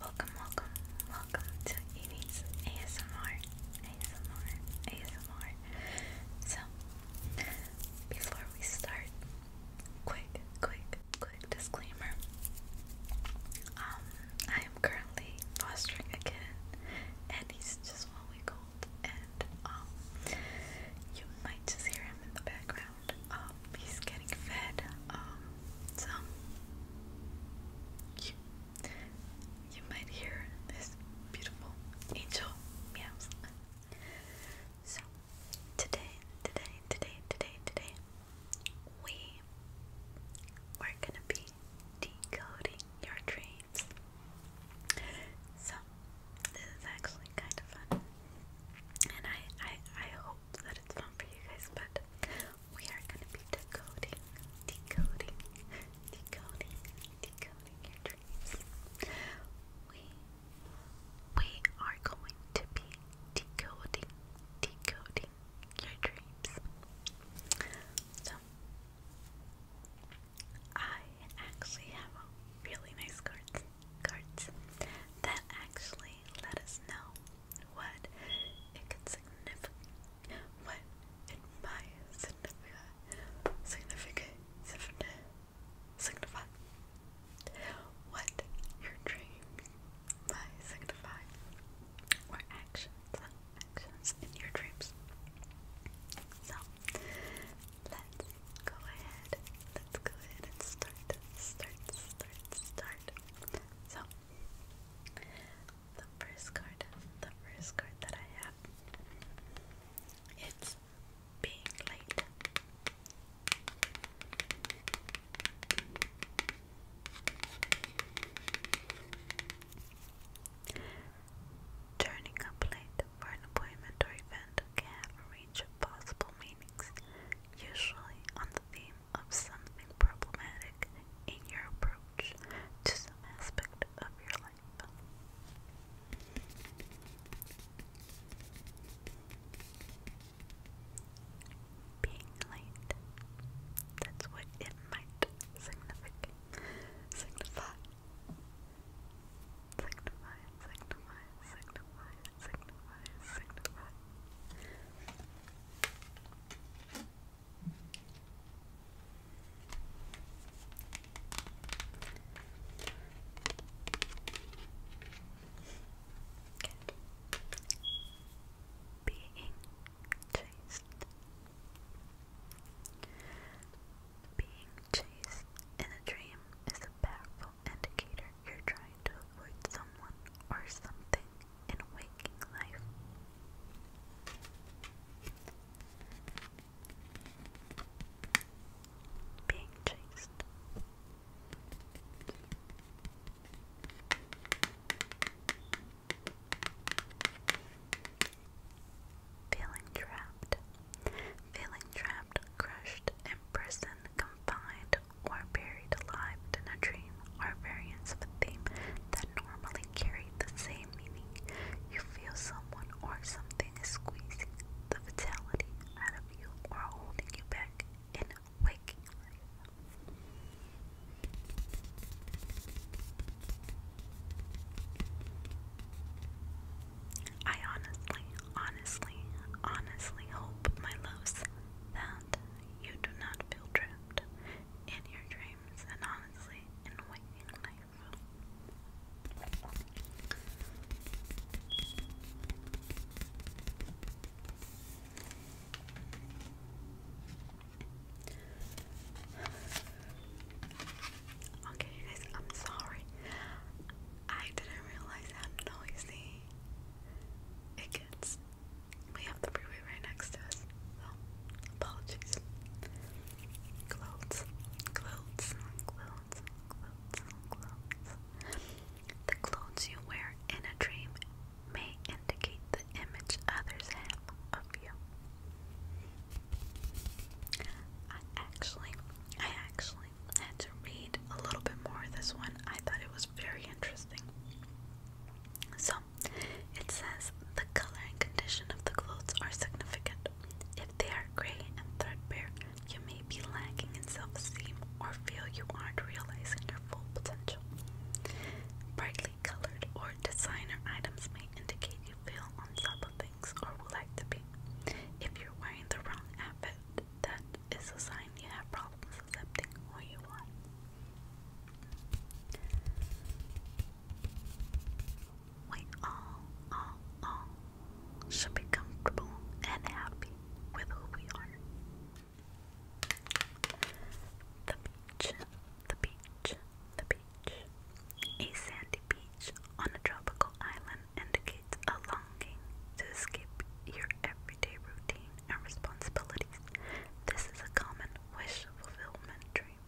Welcome, welcome, welcome to Evie's ASMR, ASMR, ASMR. So, before we start, quick, quick, quick disclaimer. Um, I am currently fostering a kid, and he's just one week old, and um, you might just hear him in the background. Um, he's getting fed um, You, you might hear this beautiful angel meows. So today, today, today, today, today, we are gonna be decoding your dreams. So this is actually kind of fun, and I, I, I hope hope that it's fun for you guys, but we are gonna be decoding, decoding, decoding, decoding your dreams. We we are going to be decoding, decoding your dreams. So I actually have a really nice cards cards that actually let us know what it can significant what in my significant significant signify what your dream might signify or actions actions in your dreams. So let's go ahead. Let's go ahead and start start start start. So the first card, the first card that I have, it's being late. Turning up late for an appointment or event can have a range of possible meanings, usually on the theme of something problematic in your approach to some aspect of your life. Being late, that's what it might signify. Signify, signify, signify, signify, signify, being chased. Being chased in a dream is a powerful indicator you're trying to avoid someone or something and waking life. Being chased. Feeling trapped. Feeling trapped, crushed, imprisoned, confined, or buried alive in a dream are variants of a theme that normally carry the same meaning. You feel someone or something is squeezing the vitality out of you or holding you back in waking life. I honestly, honestly, honestly hope, my loves, that you do not feel trapped lived, in your dreams, and honestly, in waking life. Okay, guys, I'm sorry. I didn't realize how noisy it gets. We have the freeway right next to us, so apologies. Clothes, clothes, clothes, clothes, clothes. The clothes you wear in a dream may indicate the image others have of you. I actually, I actually had to read a little bit more of this one. I thought it was very interesting. So, it says the color and condition of the clothes are significant. If they are gray and threadbare, you may be lacking in self esteem or feel you aren't realizing your full potential. Brightly colored or designer items may indicate you feel on top of things or would like to be. If you're wearing the wrong outfit, that is a sign you have problems accepting who you are. We all, all, all should be comfortable and happy with who we are. The beach, the beach, the beach. A sandy beach on a tropical island indicates a longing to escape your everyday routine and responsibilities. This is a common wish fulfillment dream.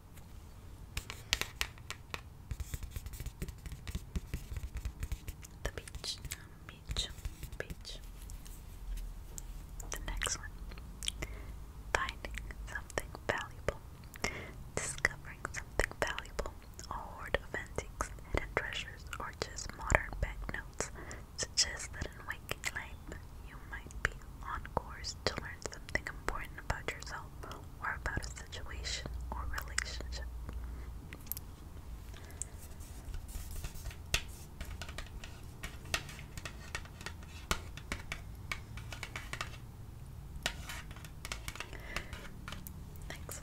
The beach, beach, beach. The next one finding something valuable, discovering something valuable, a hoard of antiques, hidden treasures, or just modern banknotes results suggest that in waking life you might be on course to learn something important about yourself or about a situation or relationship. Next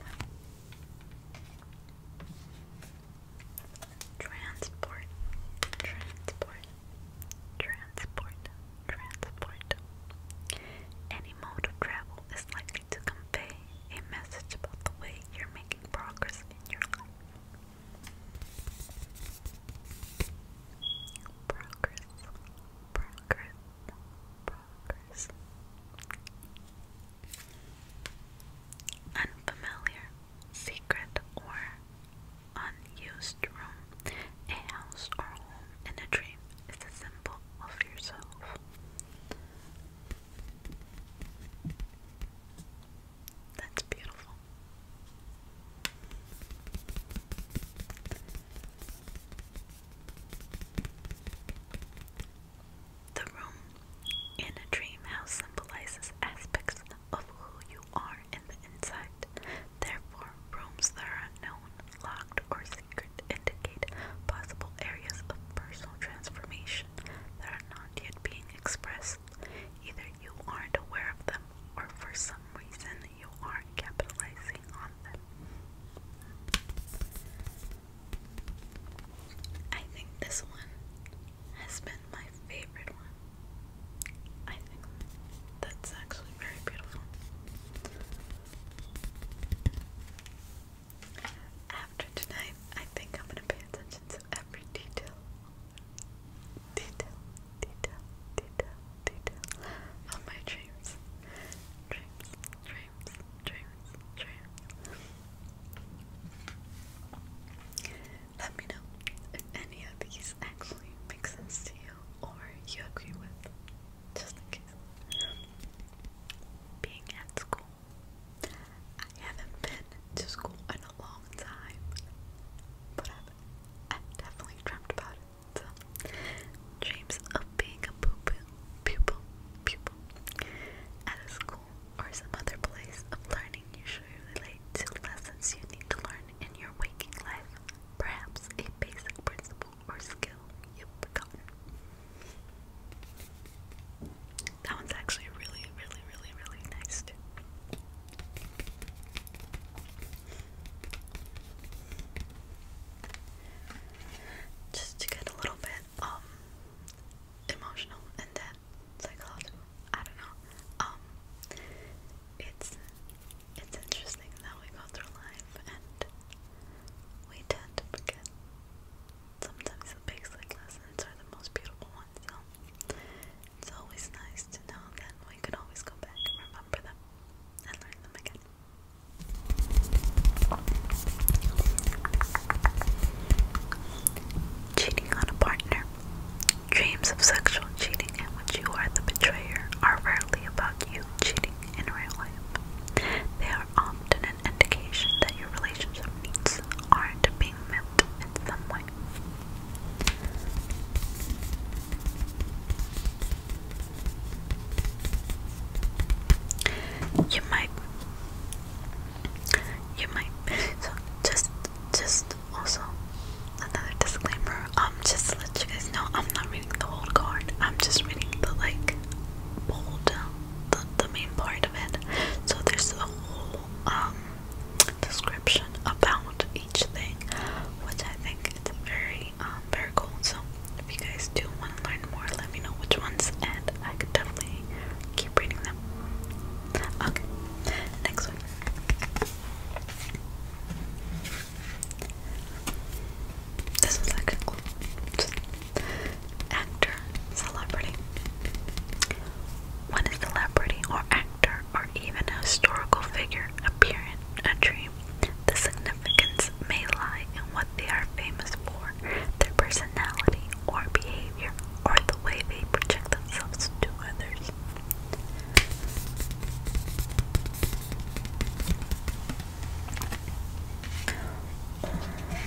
transport, transport, transport, transport. Any mode of travel is likely to convey a message about the way you're making progress in your life. Progress, progress, progress. Unfamiliar, secret, or unused room, a house or home in a dream is a symbol of yourself. That's beautiful. The room in a dream house symbolizes aspects of who you are in the inside. Therefore, rooms that are unknown, locked, or secret indicate possible areas of personal transformation that are not yet being expressed. Either you aren't aware of them, or for some reason, you aren't capitalizing on them. I think this one has been and my favorite one. I think that's actually very beautiful. After tonight, I think I'm gonna pay attention to every detail. Detail, detail, detail, detail of my dreams. Dreams, dreams, dreams, dreams. Let me know if any of these actually make sense to you or you agree with, just in case. Being at school, I haven't been to school in a long time, but I've, definitely dreamt about it. So, dreams of being a pupil, pupil, pupil at a school or some other place of learning you should relate to lessons you need to learn in your waking life, perhaps a basic principle or skill you That one's actually really, really, really, really nice Just to get a little bit um, emotional and then psychological? I don't know. Um, it's it's interesting that we go through life and we tend to forget. Sometimes the basic lessons are the most beautiful ones. So it's always nice to know that we can always go back and remember them and learn them again. Cheating on a partner. Dreams of sexual cheating in which you are the betrayer are rarely about you cheating in real life. They are often an indication that your relationship needs aren't being met in some way. You might you might just just also another disclaimer um just to let you guys know i'm not reading the whole card i'm just reading the like bold the, the main part of it so there's a whole um description about each thing which i think it's very um very cool so if you guys do want to learn more let me know which ones and i can definitely keep reading them okay next next one. This one's like a Actor, celebrity. When a celebrity or actor or even a historical figure appear in a dream, the significance may lie in what they are famous for, their personality or behavior, or the way they project themselves to others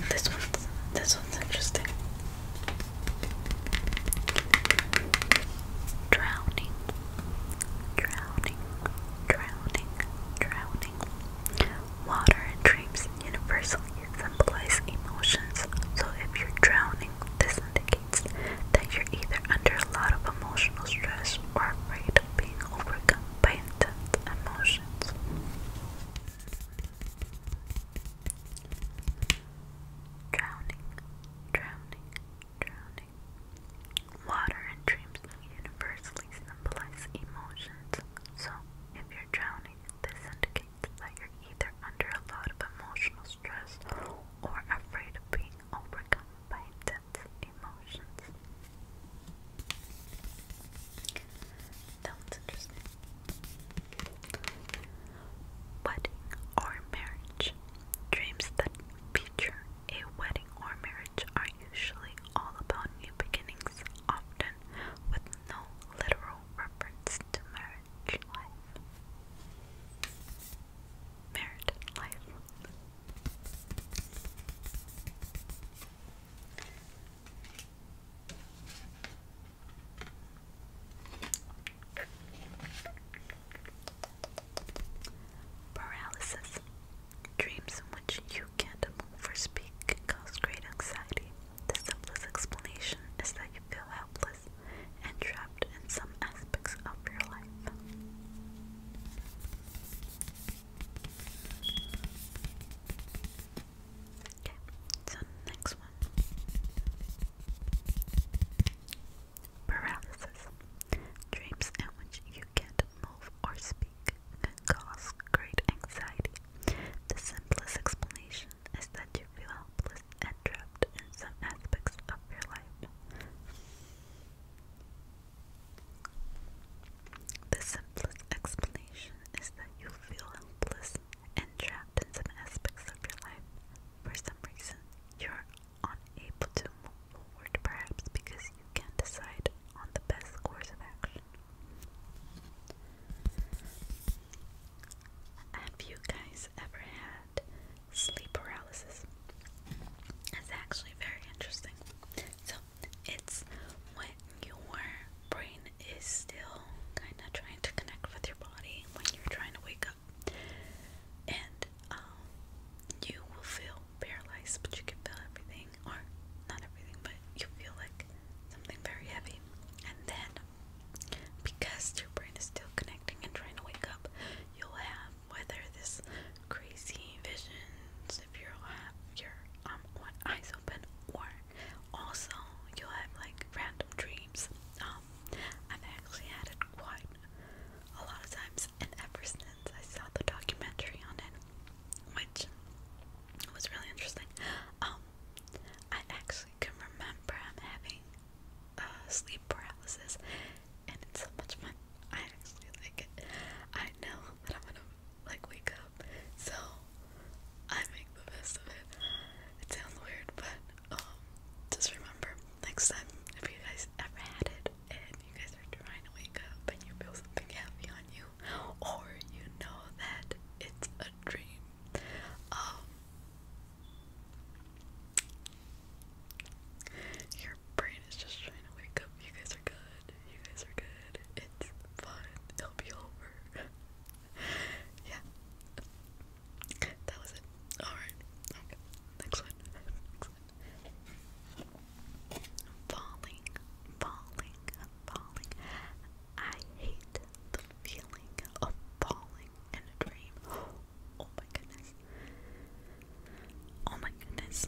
this one's this one's interesting. Drowning, drowning, drowning, drowning. Water and dreams universally symbolize emotions, so if you're drowning, this indicates that you're either under a lot of emotional stress or afraid of being overcome by intense emotions. Drowning, drowning, drowning. Water and dreams universally symbolize emotions, so if you're drowning, this indicates that you're either under a lot of emotional stress or afraid of being overcome by intense emotions. Sounds interesting. Wedding or marriage. Dreams that feature a wedding or marriage are usually all about new beginnings, often with no literal reference to marriage marriage Paralysis. Dreams in which you can't move or speak cause great anxiety. The simplest explanation is that you feel helpless helpless and trapped in some aspects of your life. Okay, so next one. Paralysis. Dreams in which you can't move or speak can cause great anxiety. The simplest explanation is that you feel helpless and trapped in some aspects of your life. The simplest explanation is that you feel helpless and trapped in some aspects of your life. For some reason, you're unable to move forward, perhaps because you can't decide on the best course of action. Have you guys ever had sleep paralysis? It's actually very interesting. So, it's when your brain is still kind of trying to connect with your body when you're trying to wake up. And um, you will feel paralyzed, but you can feel everything, or not everything, but you feel like something very heavy. And then because your brain is still connecting and trying to wake up, you'll have whether this crazy visions if you'll have your um one eyes open or also you'll have like random dreams. Um I've actually had it quite a lot of times and ever since I saw the documentary on it, which was really interesting. Um I actually can remember I'm having uh, sleep paralysis, and it's so much fun. I actually like it. I know that I'm gonna like wake up, so I make the best of it. It sounds weird, but um, just remember next time if you guys ever had it and you guys are trying to wake up and you feel something heavy on you, or you know that it's a dream, um, your brain is just trying to wake up. You guys are good. You guys are good. It's fun. It'll be over. yeah. That was it. Alright. Okay. Next one. Falling. Falling. Falling. I hate the feeling of falling in a dream. Oh my goodness. Oh my goodness.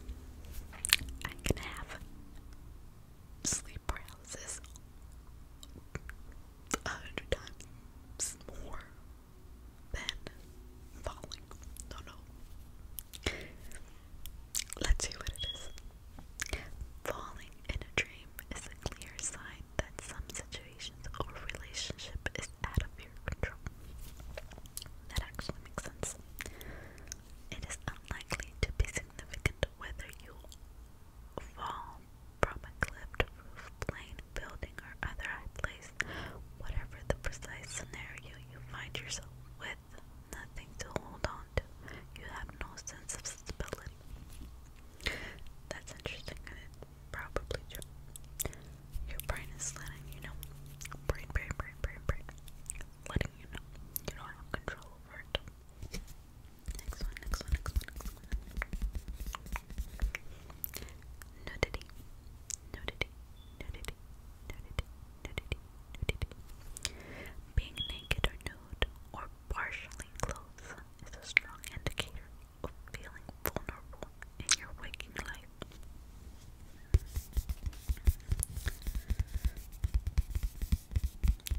I can have sleep paralysis a hundred times more than falling. No, no. Let's see what it is. Falling in a dream is a clear sign that some situations or relationship is out of your control. That actually makes sense. It is unlikely to be significant whether you fall from a cliff, roof, plane, building, or other place, whatever the precise scenario you find yourself with, nothing to hold on to. You have no sense of stability. That's interesting. Probably Joe. Your brain is letting you know. Brain, brain, brain, brain, brain. Letting you know. You don't have control over it. Next one, next one, next one, next one. Nudity. Nudity. Nudity. Nudity. Nudity. Nudity. Being naked or nude or partially clothed is a strong indicator of feeling vulnerable in your waking life.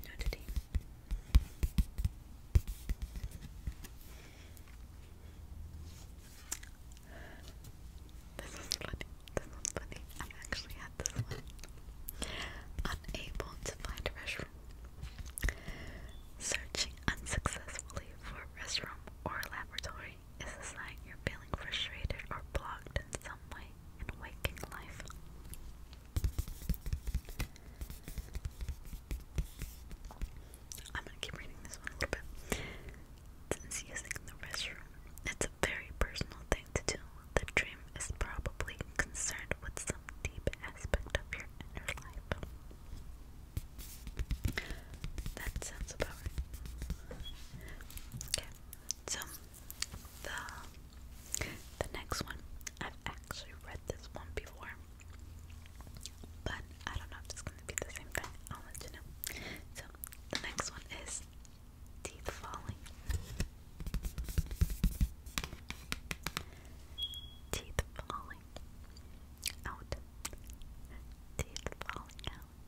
Nudity. This is funny. This is funny. I actually had this one. Unable to find a restroom. Searching unsuccessfully for a restroom or a laboratory is a sign you're feeling frustrated or blocked in some way in waking life. I'm gonna keep reading this one a little bit. Since using the restroom, it's a very personal thing to do. The dream is probably concerned with some deep aspect of your inner life. That sounds about right. Okay, so the the next one I've actually read this one before, but I don't know if it's gonna be the same thing. I'll let you know. So the next one is teeth falling. Teeth falling out. Teeth falling out.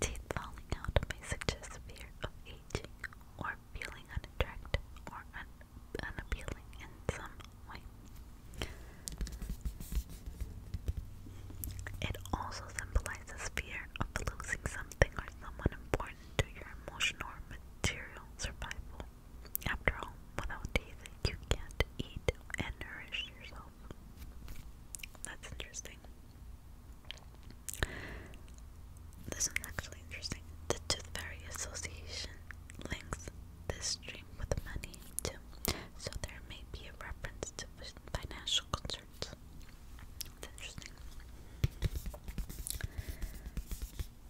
Teeth falling out may suggest fear of aging or feeling unattractive or un in some way. It also symbolizes fear of losing something or someone important to your emotional or material survival. After all, without teeth, you can't eat and nourish yourself. That's interesting. This is actually interesting. The Tooth Fairy Association links this dream with money so there may be a reference to financial concerns. It's interesting.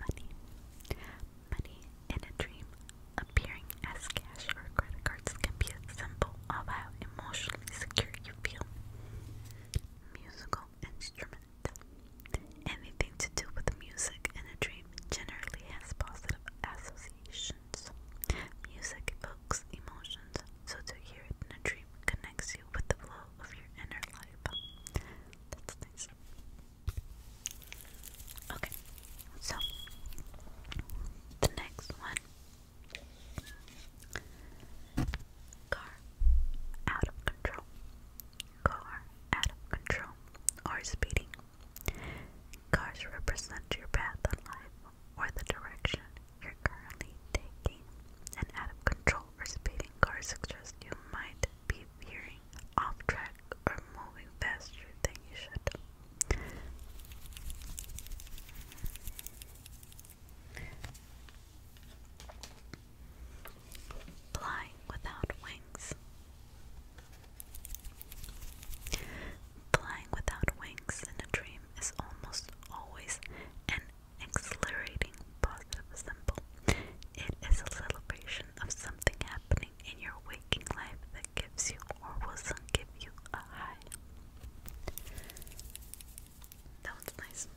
money. Money in a dream appearing as cash or credit cards can be a symbol of how emotionally secure you feel. Musical instrument. Anything to do with music in a dream generally has positive associations. Music evokes emotions, so to hear in a dream connects you with the flow of your inner life. That's nice. Okay, so the next one car out of control, car out of control, or speeding. Cars represent your path in life or the direction you're currently taking. An out of control or speeding car suggests you might be veering going off track or moving faster than you should. Flying without wings. Flying without wings in a dream is almost always an exhilarating positive symbol. It is a celebration of something happening in your waking life that gives you or will soon give you a high. That one's nice.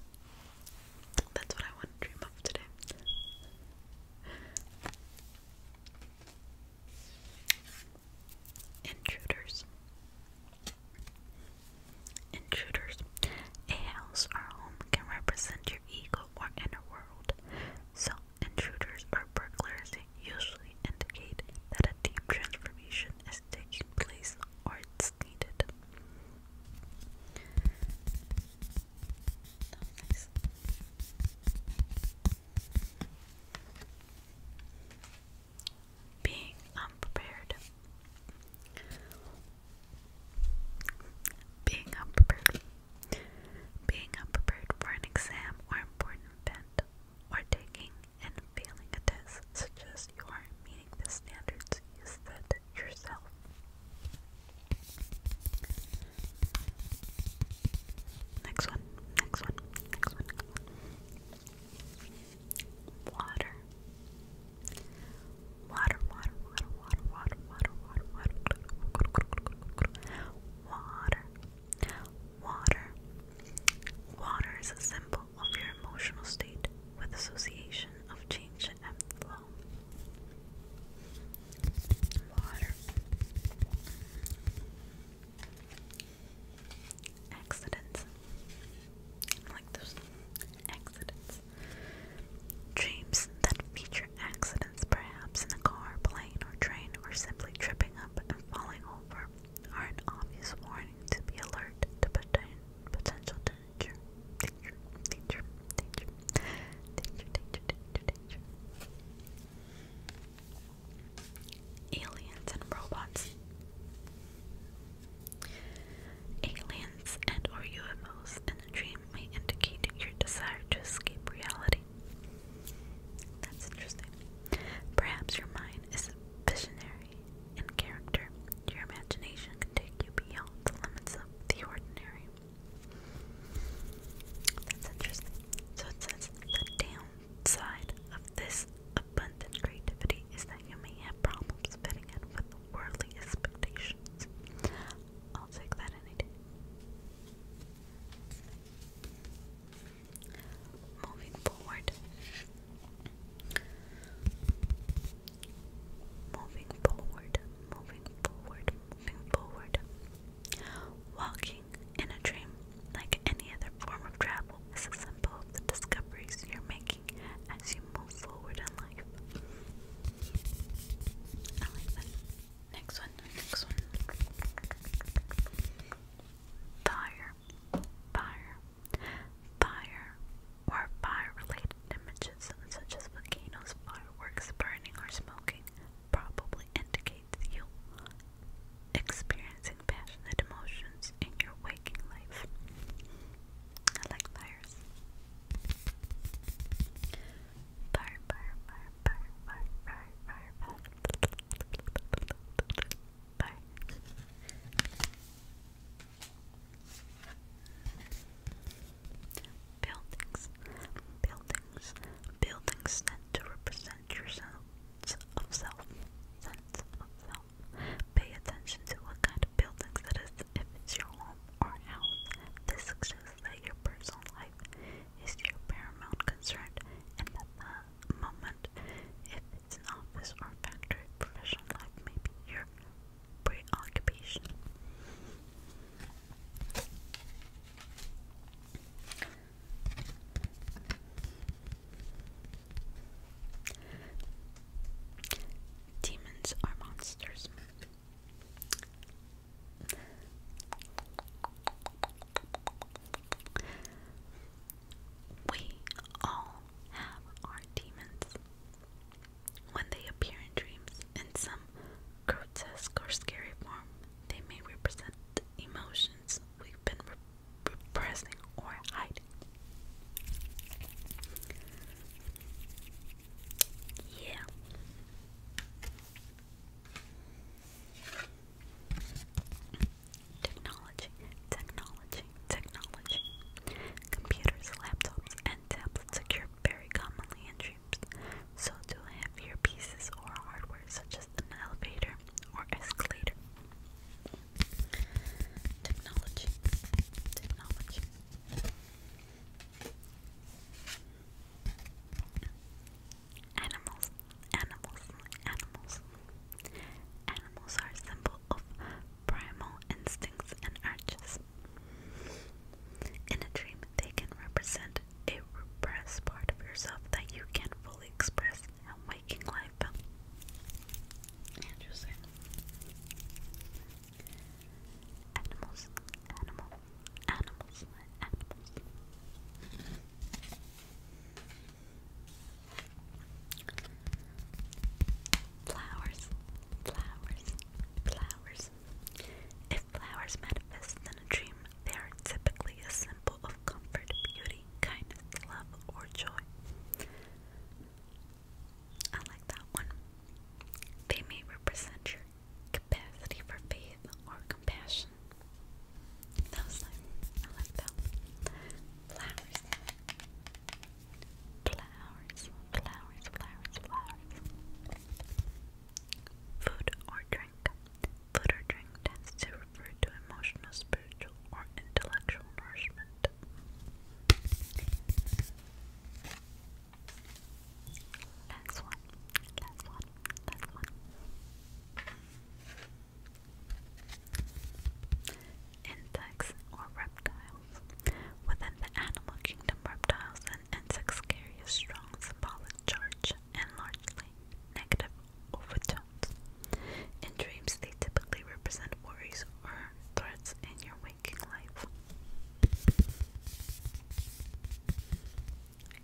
That's what I want to dream of today. Intruders. Intruders. A house or home can represent your ego or inner world. So, intruders or burglars usually indicate that a deep transformation is taking place or it's needed. Being unprepared. Being up being prepared for an exam or important event, or taking and failing a test suggests you are meeting the standards you set yourself. Next one, next one, next one. Water. Water, water, water, water, water, water, water, water, water, water. Water is a symbol of your emotional state with association of change and flow. Water. Accidents. Like those accidents. Dreams that feature accidents perhaps in a car, plane, or train, or simply tripping up and falling over are an obvious warning to be alert to potential danger. Aliens and robots. Aliens and or UFOs in the dream may indicate your desire to escape reality. That's interesting. Perhaps your mind is visionary in character. Your imagination can take you beyond the limits of the ordinary. That's interesting. So it says the downside of this abundant creativity is that you may have problems fitting in with worldly expectations. I'll take that any day. Moving forward. Moving forward, moving forward, moving forward. Walking in a dream, like any other form of travel, is a symbol of the discoveries you're making as you move forward in life. I like that. Next one, next one. Fire, fire, fire, or fire related images such as volcanoes, fireworks, burning, or smoking probably indicates you experiencing passionate emotions in your waking life. I like fires. Barf, barf, barf, barf, barf, barf, barf, barf. Barf. Buildings, buildings, buildings stand to represent your sense of self, sense of self. Pay attention to what kind of buildings that is. if it's your home or house. This suggests that your personal life is your paramount concern, and at the moment, if it's an office or factory, professional life may be your preoccupation. Demons are monsters. We all have our demons. When they appear in dreams in some grotesque or scary form, they may represent emotions we've been repressing or hiding. Yeah. Technology, technology, technology. Computers, laptops, and tablets occur very commonly in dreams. So do heavier pieces or hardware such as an elevator or escalator. Technology, technology. Animals, animals, animals. Animals are a symbol of primal instincts and urges. In a dream, they can represent a repressed part of yourself that you can't fully express in waking life. Animals, animals, Animals, animals. Flowers, flowers, flowers. If flowers manifest in a dream, they are typically a symbol of comfort, beauty, kindness, love, or joy. I like that one. They may represent your capacity for faith or compassion. That was nice. I like that. Flowers. Flowers, flowers, flowers, flowers. Food or drink. Food or drink tends to refer to emotional, spiritual, or intellectual nourishment. Insects or reptiles. Within the animal kingdom, reptiles and insects carry a strong symbolic charge and largely negative overtones. In dreams, they typically represent worries or threats in your waking life.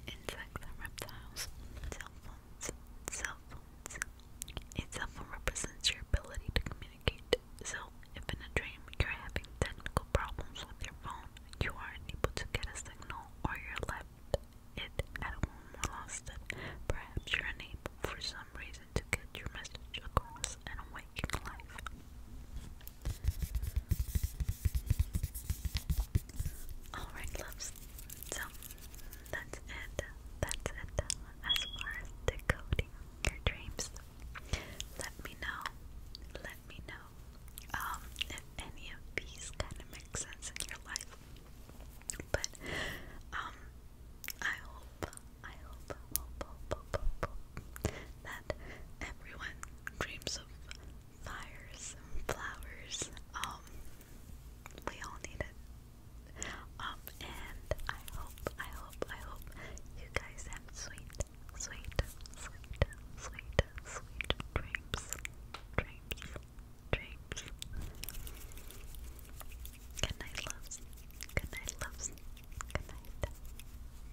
Insects and reptiles. Cell phones. Cell phones. A phone represents your ability to communicate. So, if in a dream you're having technical problems with your phone, you are unable to get a signal, or you're left it at home or lost it, perhaps you're unable for some reason to get your message across in a waking life. Alright, loves. So that's it. That's it. As far as decoding your dreams, let me know. Let me know um, if any of these kind of make sense in your life. But um, I hope, I hope, hope, hope, hope, hope that everyone dreams of fires flowers. Um, we all need it. Um, and I hope, I hope, I hope you guys have sweet, sweet, sweet, sweet, sweet dreams, dreams, dreams. Good night, loves. Good night, loves. Good night.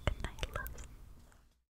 Good night, loves.